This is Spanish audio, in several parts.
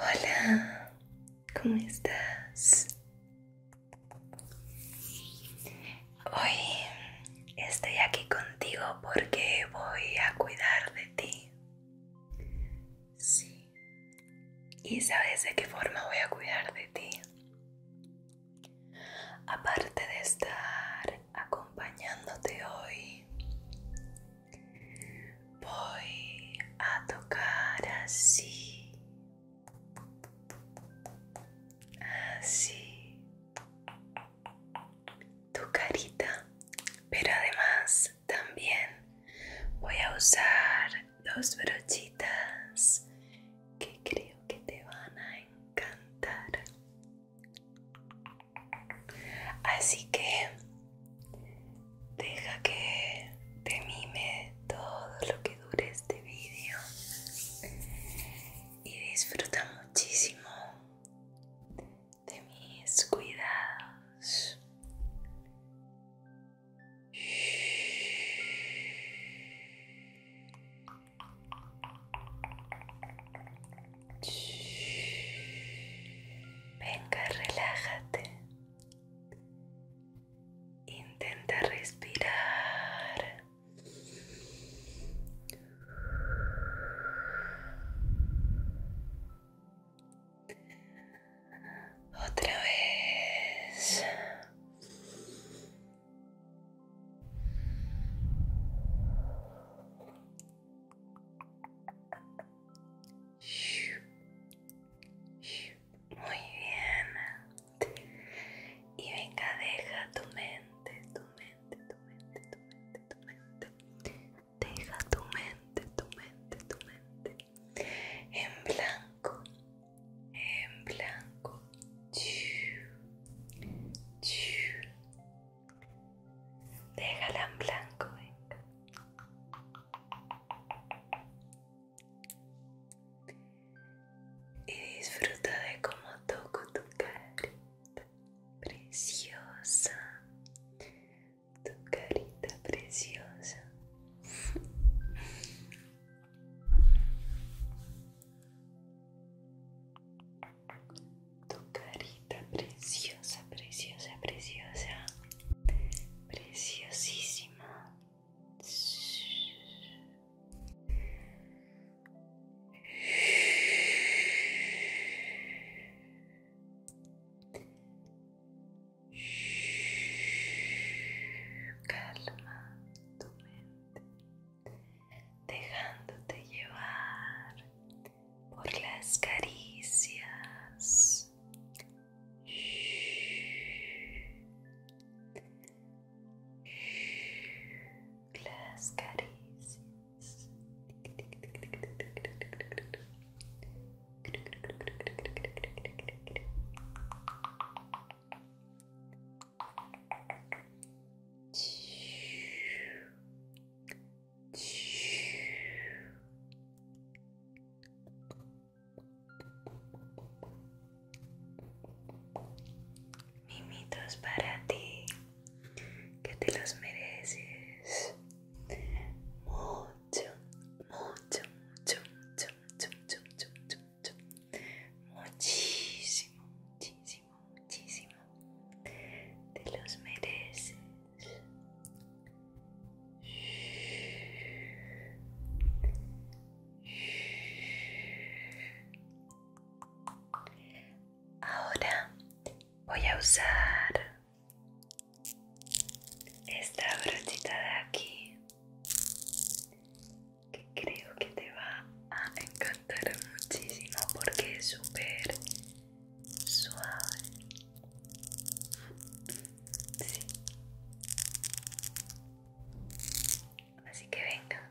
Hola, ¿cómo estás? Hoy estoy aquí contigo porque voy a cuidar de ti. Sí. ¿Y sabes de qué forma voy a cuidar de ti? Aparte de estar acompañándote hoy, voy a tocar así. Así. Tu carita. Pero además también voy a usar dos brochitas que creo que te van a encantar así que deja que te mime todo lo que dure este vídeo y disfruta muchísimo de mis cuidados. Venga, relájate. Intenta respirar. Otra vez. Muy bien. Y venga, deja tu mente, tu mente, tu mente, tu mente, tu mente. Deja tu mente, tu mente, tu mente en blanco, en blanco. Déjala en blanco, venga. Y disfruta de cómo toco tu carita preciosa tu carita preciosa. Tu carita preciosa, preciosa, preciosa. Preciosísima. Calma tu mente, dejándote llevar por las caricias. Las caricias. Mimitos para ti, que te los mereces mucho, Muchísimo, muchísimo, muchísimo. de los mereces. Ahora voy a usar esta brochita de aquí que creo que te va a encantar muchísimo porque es súper suave sí. así que venga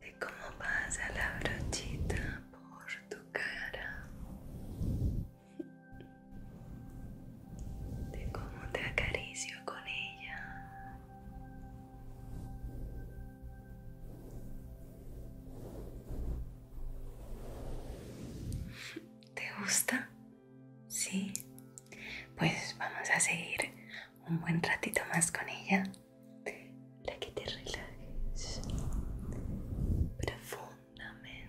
de cómo pasa la brochita por tu cara, de cómo te acaricio con ella. ¿Te gusta? Sí. Pues vamos a seguir un buen ratito más con ella la que te relajes profundamente.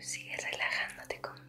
sigue relajándote conmigo.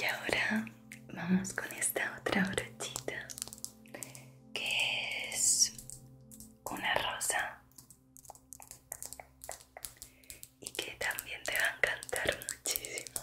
Y ahora vamos con esta otra brochita que es una rosa y que también te va a encantar muchísimo.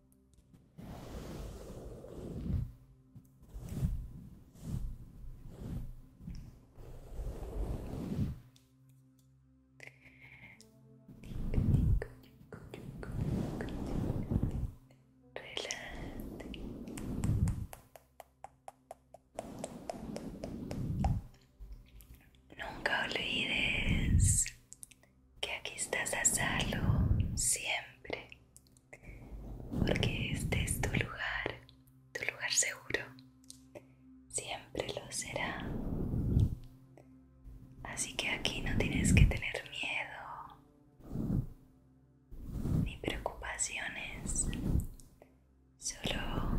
Nunca olvides que aquí estás a salvo siempre porque este es tu lugar, tu lugar seguro. Siempre lo será. Así que aquí no tienes que tener miedo ni preocupaciones. Solo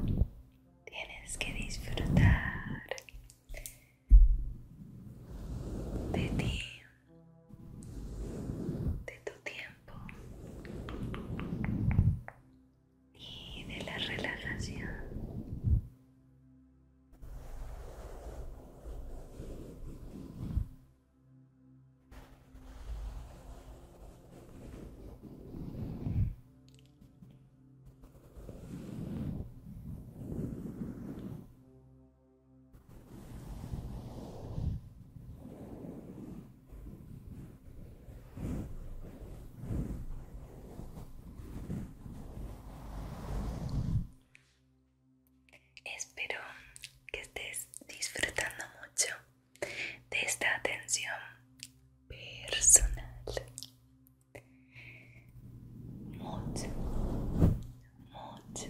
tienes que disfrutar de ti de tu tiempo y de la relajación. Espero que estés disfrutando mucho de esta atención personal. Mucho, mucho,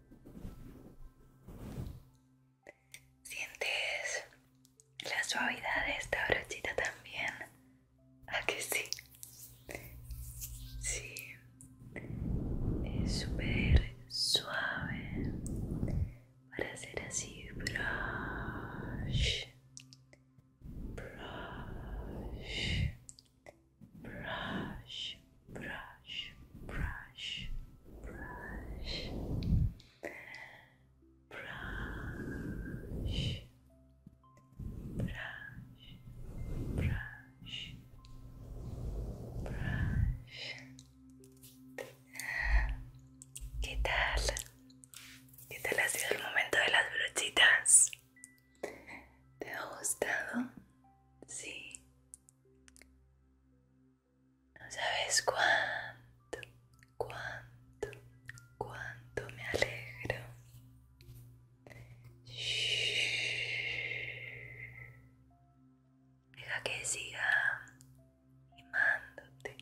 Sientes la suavidad de esta brochita también. ¿A que sí? Sí. Es súper suave para hacer así brush brush brush, brush, brush, brush, brush, brush, brush, brush. ¿Qué tal? ¿Qué tal ha sido el momento de las brochitas? ¿Te ha gustado? Sí. No sabes cuánto, cuánto, cuánto me alegro. Deja que siga mándote.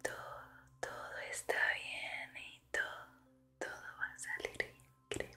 Todo, todo está bien y todo, todo va a salir bien,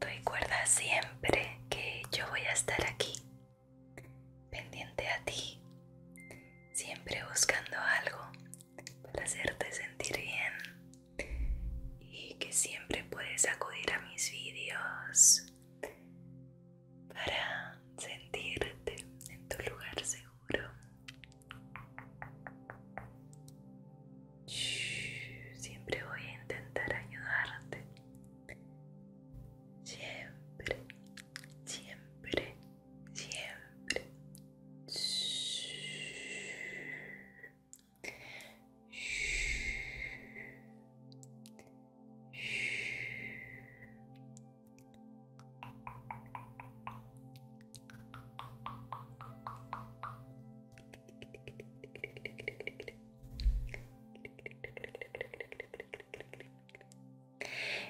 Recuerda siempre que yo voy a estar aquí, pendiente a ti, siempre buscando algo para hacerte sentir bien y que siempre puedes acudir a mis vídeos para sentirte en tu lugar seguro. Siempre voy a intentar ayudarte. Siempre, siempre, siempre.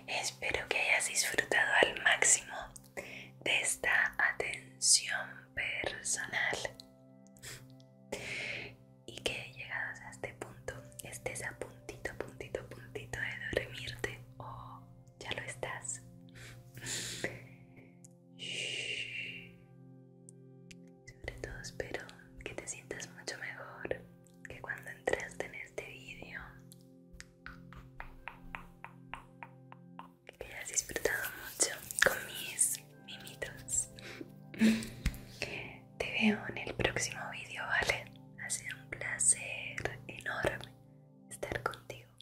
Espero que hayas disfrutado al máximo de esta atención personal y que llegados a este punto estés a puntito, puntito, puntito de dormirte o ya lo estás. Sobre todo espero que te sientas mucho mejor que cuando entraste en este video Que hayas disfrutado mucho con mis mimitos. Te veo en el próximo vídeo, ¿vale? Ha sido un placer enorme estar contigo.